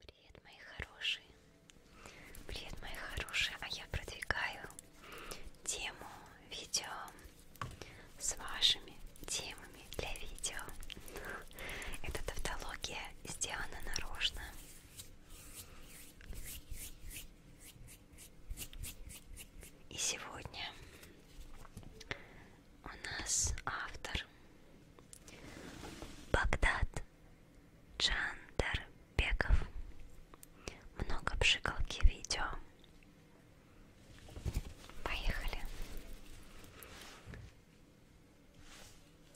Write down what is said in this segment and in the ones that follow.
Привет, мои хорошие. Привет, мои хорошие. А я продвигаю тему видео с вашими темами для видео. Эта тавтология сделана нарочно. И сегодня у нас автор Багдад Чандарбеков. Много пшикалки видео. Поехали.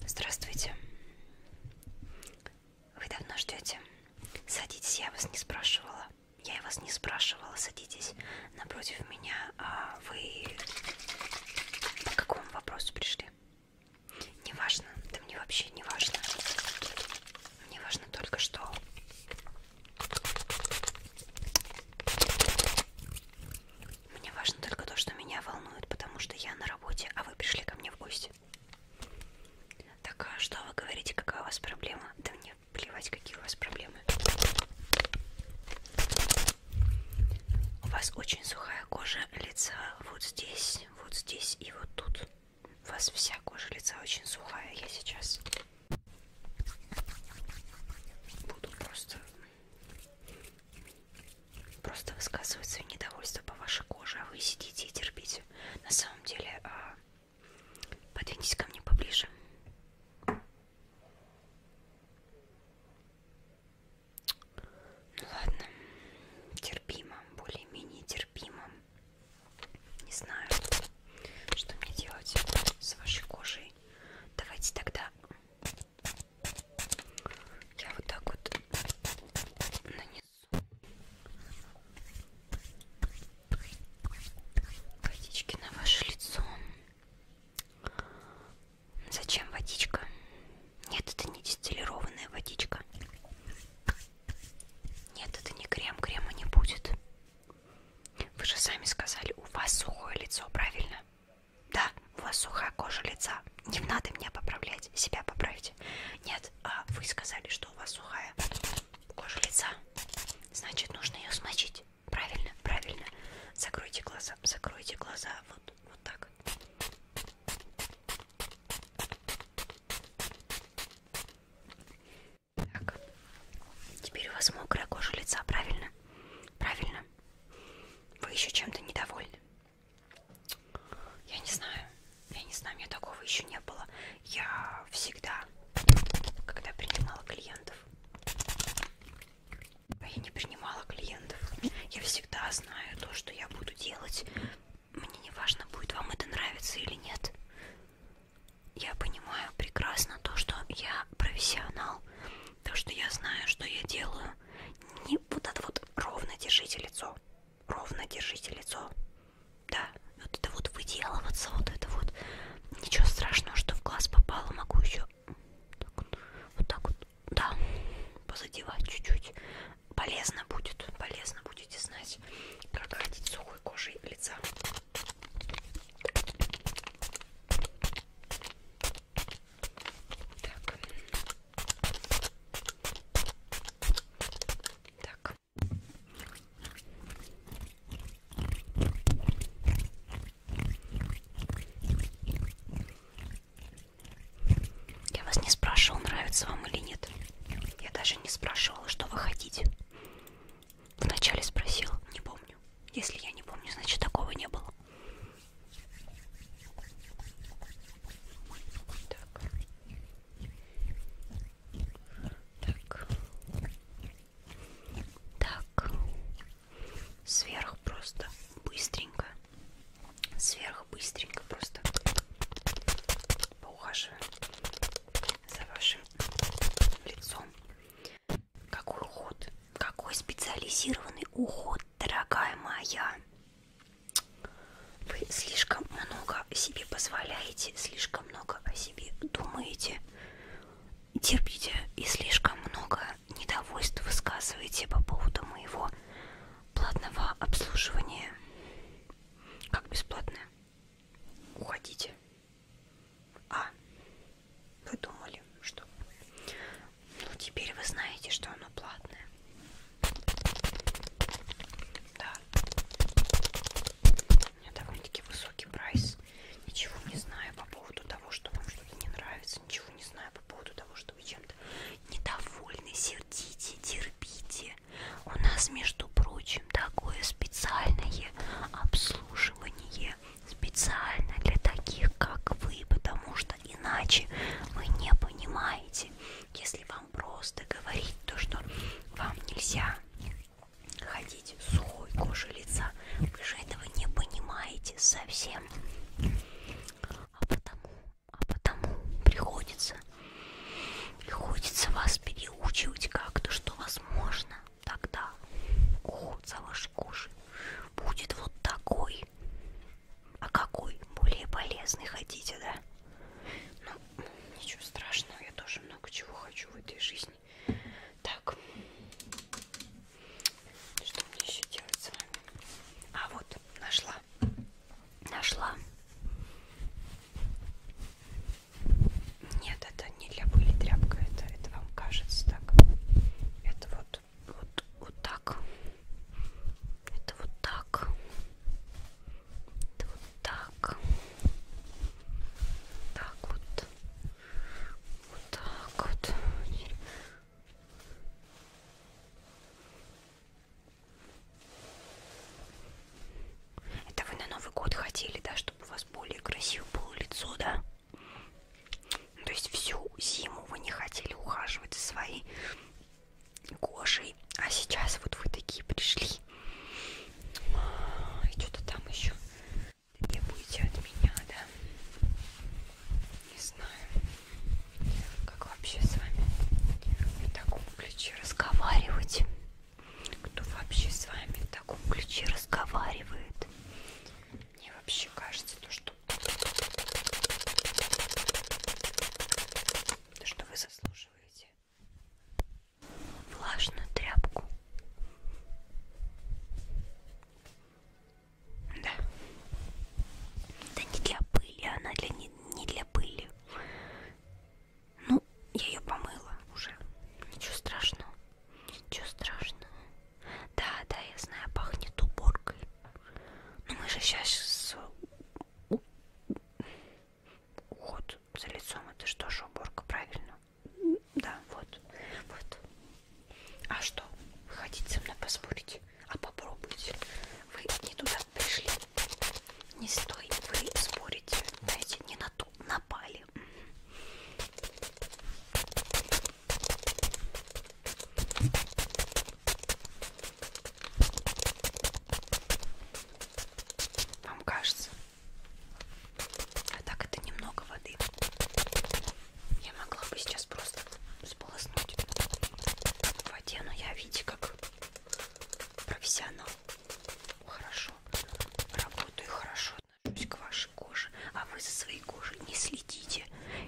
Здравствуйте. Вы давно ждете? Садитесь, я вас не спрашивала. Я и вас не спрашивала, садитесь напротив меня. А вы по какому вопросу пришли? Неважно, да мне вообще не важно. Мне важно только что. Мне важно только то, что меня волнует, потому что я на работе, а вы пришли ко мне в гости. Так а что вы говорите, какая у вас проблема? Да мне плевать, какие у вас проблемы. У вас очень сухая кожа лица вот здесь, вот здесь и вот тут. У вас вся кожа лица очень сухая. Я сейчас буду просто просто высказывать свое недовольство по вашей коже, а вы сидите и терпите. На самом деле, а, подвиньтесь ко мне поближе. Ну ладно, терпимо, более-менее терпимо. Не знаю, что мне делать с вашей кожей. Давайте тогда я вот так вот нанесу водички на ваше лицо. Зачем водичка? Нет, это не дистиллированная водичка. Нет, это не крем, крема не будет. Вы же сами сказали, у вас сухое лицо, правильно? Да, у вас сухая кожа лица. Не надо меня поправлять, себя поправьте. Нет, а вы сказали, что у вас сухая кожа лица. Значит, нужно ее смочить. Правильно, правильно. Закройте глаза, закройте глаза. Вот, вот так. Так. Теперь у вас мокрая кожа лица, правильно? Правильно. Вы еще чем-то недовольны? Я не знаю. Я не знаю, у меня такого еще не было. Я всегда, когда принимала клиентов, я не принимала клиентов. Я всегда знаю то, что я буду делать. Мне не важно, будет вам это нравиться или нет. Я понимаю прекрасно то, что я профессионал. То, что я знаю, что я делаю. Не вот это вот ровно держите лицо. Ровно держите лицо. Да, вот это вот выделываться, вот это вот. Ничего страшного, что в глаз попало, могу еще так вот, вот так вот, да, позадевать чуть-чуть. Полезно будет, полезно будете знать, как ходить сухой кожей лица. Так. Так. Я вас не спрашивал, нравится вам или нет. Я даже не спрашивала, что вы хотите. Вначале спросил, не помню. Если я не помню, значит такого не было. Так. Так. Так, сверху просто быстренько, сверху быстренько просто поухаживаю за вашим лицом. Какой уход? Какой специализированный уход, дорогая моя? Вы слишком много себе позволяете, слишком слишком много о себе думаете, терпите и слишком много недовольств высказываете по поводу моего платного обслуживания. Как бесплатное? Уходите. А, вы думали, что... Ну, теперь вы знаете, что оно платное. Да да. У меня довольно-таки высокий прайс. Ничего не знаю по поводу того, что вам что-то не нравится. Ничего не знаю по поводу того, что вы чем-то недовольны, сердите, терпите. У нас, между прочим, такое специальное обслуживание. Специально для таких, как вы. Потому что иначе вы не понимаете. Если вам вам просто говорить то, что вам нельзя ходить сухой кожей лица. Вы же этого не понимаете совсем. А потому, а потому приходится, приходится вас переучивать как-то, что возможно тогда уход за вашей кожей будет вот такой. А какой более полезный хотите, да? Ну ничего страшного, я тоже много чего хочу в этой жизни. Так, что мне еще делать с вами? А вот, нашла, нашла. Нет, это не для пыли тряпка, это, это вам кажется так. Это вот, вот, вот так. Это вот так. Вот так. Так вот. Вот так вот. Это вы на Новый год хотели, да, чтобы у вас более красиво было лицо, да? То есть всю зиму вы не хотели ухаживать за своей кожей. А сейчас вот вы такие пришли. А, и что-то там еще требуете от меня, да? Не знаю, как вообще с вами в таком ключе разговаривать. Кто вообще с вами в таком ключе разговаривает? Мне вообще кажется, то, что, то, что вы заслужили обсушиваете влажную тряпку. Да. Это не для пыли, она для не, не для пыли. Ну, я ее помыла уже. Ничего страшного. Ничего страшного. Да, да, я знаю, пахнет уборкой. Но ну, мы же сейчас уход за лицом. Это что же уборка, правильно? Да, вот. вот. А что? Вы хотите со мной поспорить? А попробуйте. Вы не туда пришли. Не стой. Вы спорите. Знаете, не на ту напали. Вам кажется? А так это немного воды. Я могла бы сейчас просто сполоснуть в воде, но я, видите, как профессионал. Хорошо работаю, хорошо отношусь к вашей коже, а вы за своей кожей не следите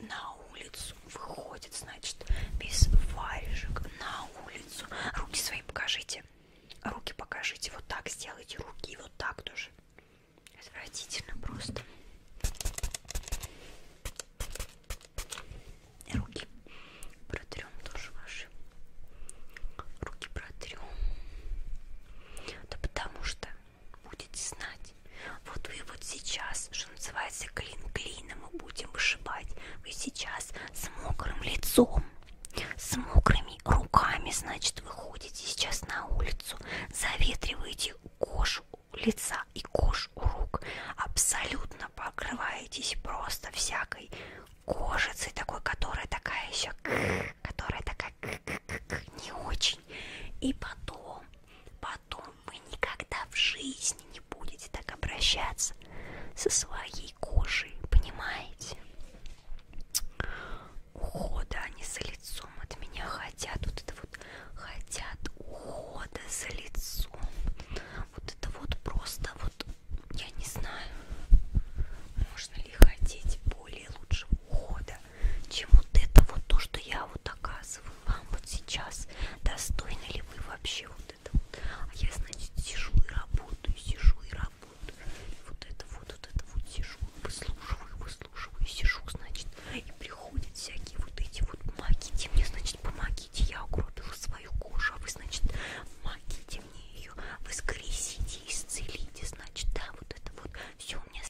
на улицу, выходит, значит, без варежек на улицу. Руки свои покажите, руки покажите, вот так сделайте, руки вот так тоже. Отвратительно просто. Руки протрем тоже ваши. Руки протрем. Да потому что будете знать. Вот вы вот сейчас, что называется, клин клином мы будем вышибать. Вы сейчас с мокрым лицом, с мокрыми руками, значит, выходите сейчас на улицу, заветриваете кожу лица и кожу рук, абсолютно покрываетесь просто всякой кожицей такой, которая такая еще, которая такая не очень. И потом, потом вы никогда в жизни не будете так обращаться со своей кожей, понимаете? Ухода они за лицом от меня хотят, вот это вот хотят ухода за лицом. Вот это вот просто вот, я не знаю, можно ли хотеть более лучшего ухода чем вот это вот то, что я вот оказываю вам вот сейчас. Достойны ли вы вообще вот это вот? А я, значит, сижу и работаю, сижу и работаю. И вот это вот, вот это вот сижу, выслушиваю, выслушиваю, сижу, значит, и приходят всякие вот эти вот помогите мне, значит, помогите, я угробила свою кожу, а вы, значит, помогите мне ее, воскресите, исцелите, значит, да, вот это вот все у меня